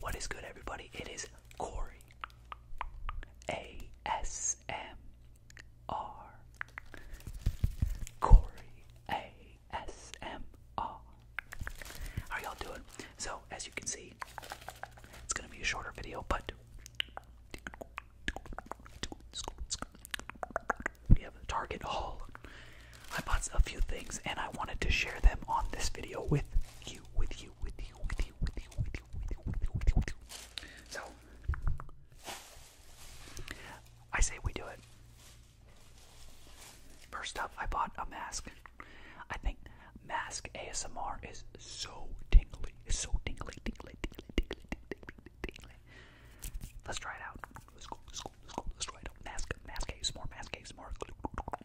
What is good, everybody? It is Corey. A S M R. Corey. A S M R. How are y'all doing? So, as you can see, it's gonna be a shorter video, but we have a Target haul I bought a few things and I wanted to share them on this video with you, with you, with you, with you, with you, with you, with you, with you, with you, with you. So I say we do it. First up, I bought a mask. I think mask ASMR is so tingly. It's so tingly, tingly, tingly, tingly, tingly, tingly. Let's try it out. Let's go, let's go, let's go, let's try it out. Mask, mask ASMR, mask ASMR.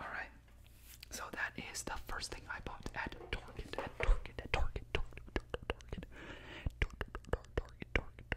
Alright, so that is the first thing I bought at Target, Target, Target, Target, Target, Target, Target, Target, Target,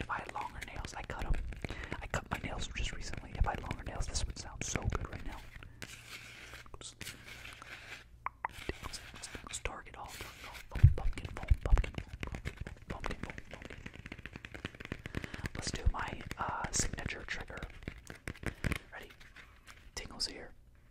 if I longer nails, I cut them. I cut my nails just recently. If I longer nails, this would sound so good right now. Target all, target all, Let's do my uh, signature trigger. Ready? Tingles here.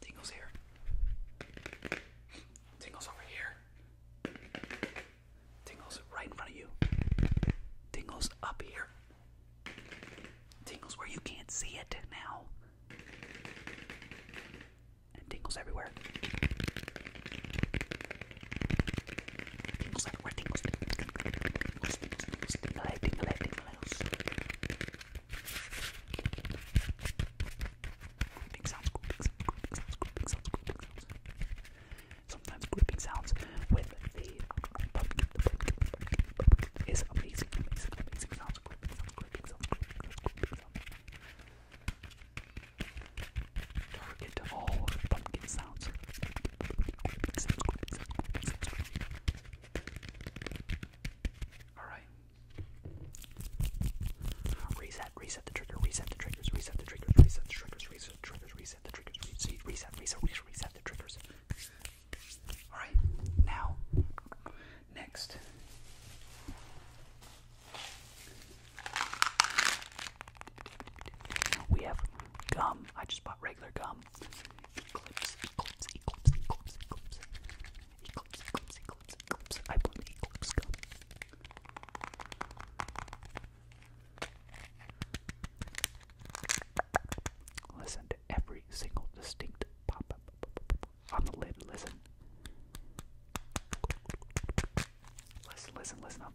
Tingle's here. Tingle's over here. Tingle's right in front of you. Tingle's up here. Tingle's where you can't see it now. And tingle's everywhere. Tingle's everywhere. Tingle's. Tingle's. Tingle's. Tingle's. Tingle's. Tingle's. Gripping sounds, gripping sounds, gripping sounds, gripping sounds, gripping sounds. Sometimes gripping sounds with the pumpkin, the pumpkin, the pumpkin, the pumpkin is amazing, amazing, amazing sounds. Gripping sounds, gripping sounds, gripping sounds, gripping sounds. Target all pumpkin sounds. Gripping sounds, gripping sounds, gripping sounds, gripping sounds. All right. Reset, reset the trigger, reset the triggers, reset the triggers, reset the triggers, reset the triggers, reset the triggers, reset, reset, reset, reset, reset the triggers. Alright, now, next. We have gum. I just bought regular gum um, eclipse, eclipse, eclipse, eclipse, eclipse, eclipse, eclipse, eclipse, eclipse. I blew the eclipse gum. Listen to every single distinct pop up on the lid. Listen. Listen, listen, listen up.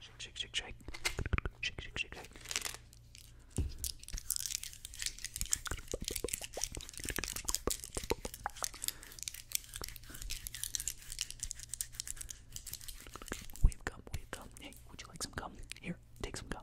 Shake, shake, shake, shake. Shake, shake, shake, shake. We've gum, we've gum. Hey, would you like some gum? Here, take some gum.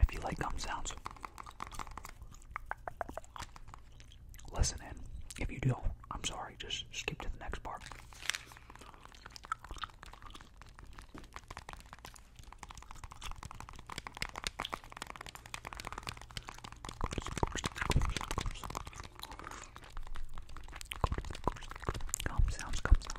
If you like gum sounds, listen in. If you do, I'm sorry, just skip to the next part. Gum sounds, gum sounds,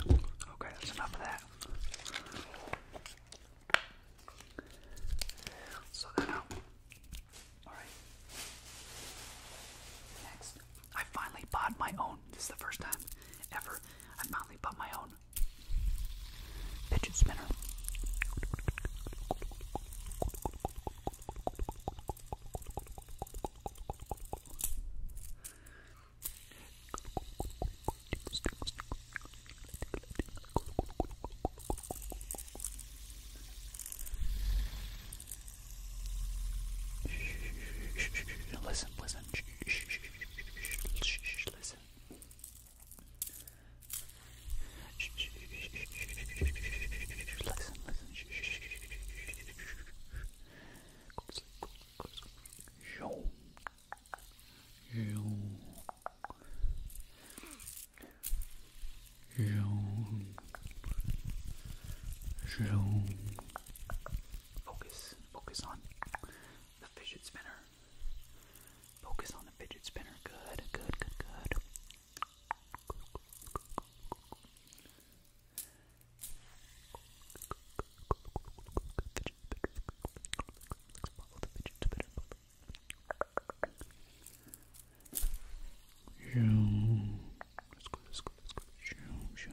Okay, that's enough of that. So that Alright. Next, I finally bought my own. This is the first time ever I finally bought my own Fidget spinner. Listen, listen. Shh, shh, shh, shh, shh, shh, shh, listen. Listen, listen. Go Focus, focus on the fidget spinner. Focus on the fidget spinner. Good, good, good, good. let Let's go, let's go, let's go. Let's go,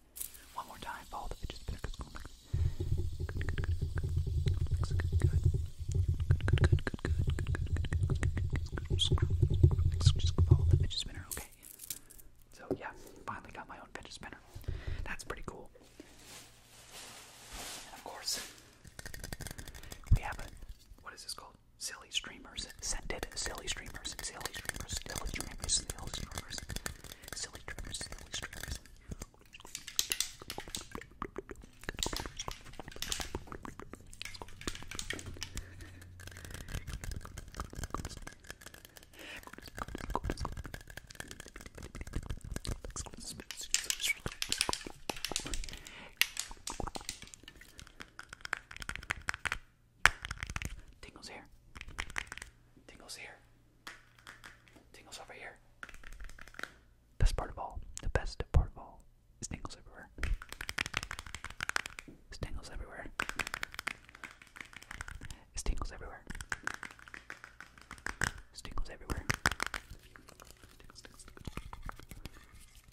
One more time, follow the fidget spinner because going like good, good, good, good, good, good, good, good, good, good, good, follow the fidget spinner, okay? So yeah, finally got my own fidget spinner. That's pretty cool. And of course, we have a what is this called? silly streamers, scented silly streamers, silly streamers, silly streamers, silly streamers, silly streamers, silly streamers. Tingles here. Tingles here. Tingles over here. Best part of all, the best part of all, is tingles everywhere. It's tingles everywhere. It's tingles everywhere. It's tingles everywhere.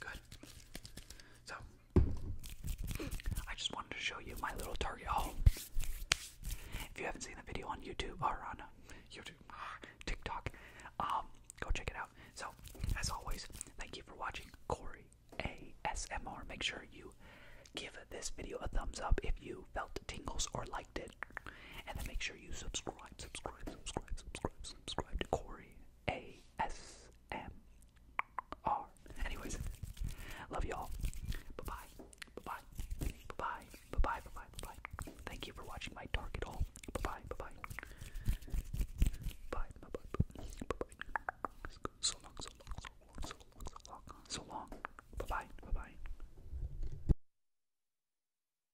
Good. So, I just wanted to show you my little Target haul. If you haven't seen the video on YouTube or on uh, YouTube, ah, TikTok, um, go check it out. So, as always, thank you for watching Corey ASMR. Make sure you give this video a thumbs up if you felt tingles or liked it, and then make sure you subscribe subscribe, subscribe, subscribe, subscribe, to Corey ASMR. Anyways, love y'all. Bye bye. Bye bye. Bye bye. Bye bye. Bye bye. Bye bye. Thank you for watching my target haul. Bye bye. Bye bye. Bye bye. Bye bye. So long. So long. So long. So long. So long. So long. Bye bye. Bye bye.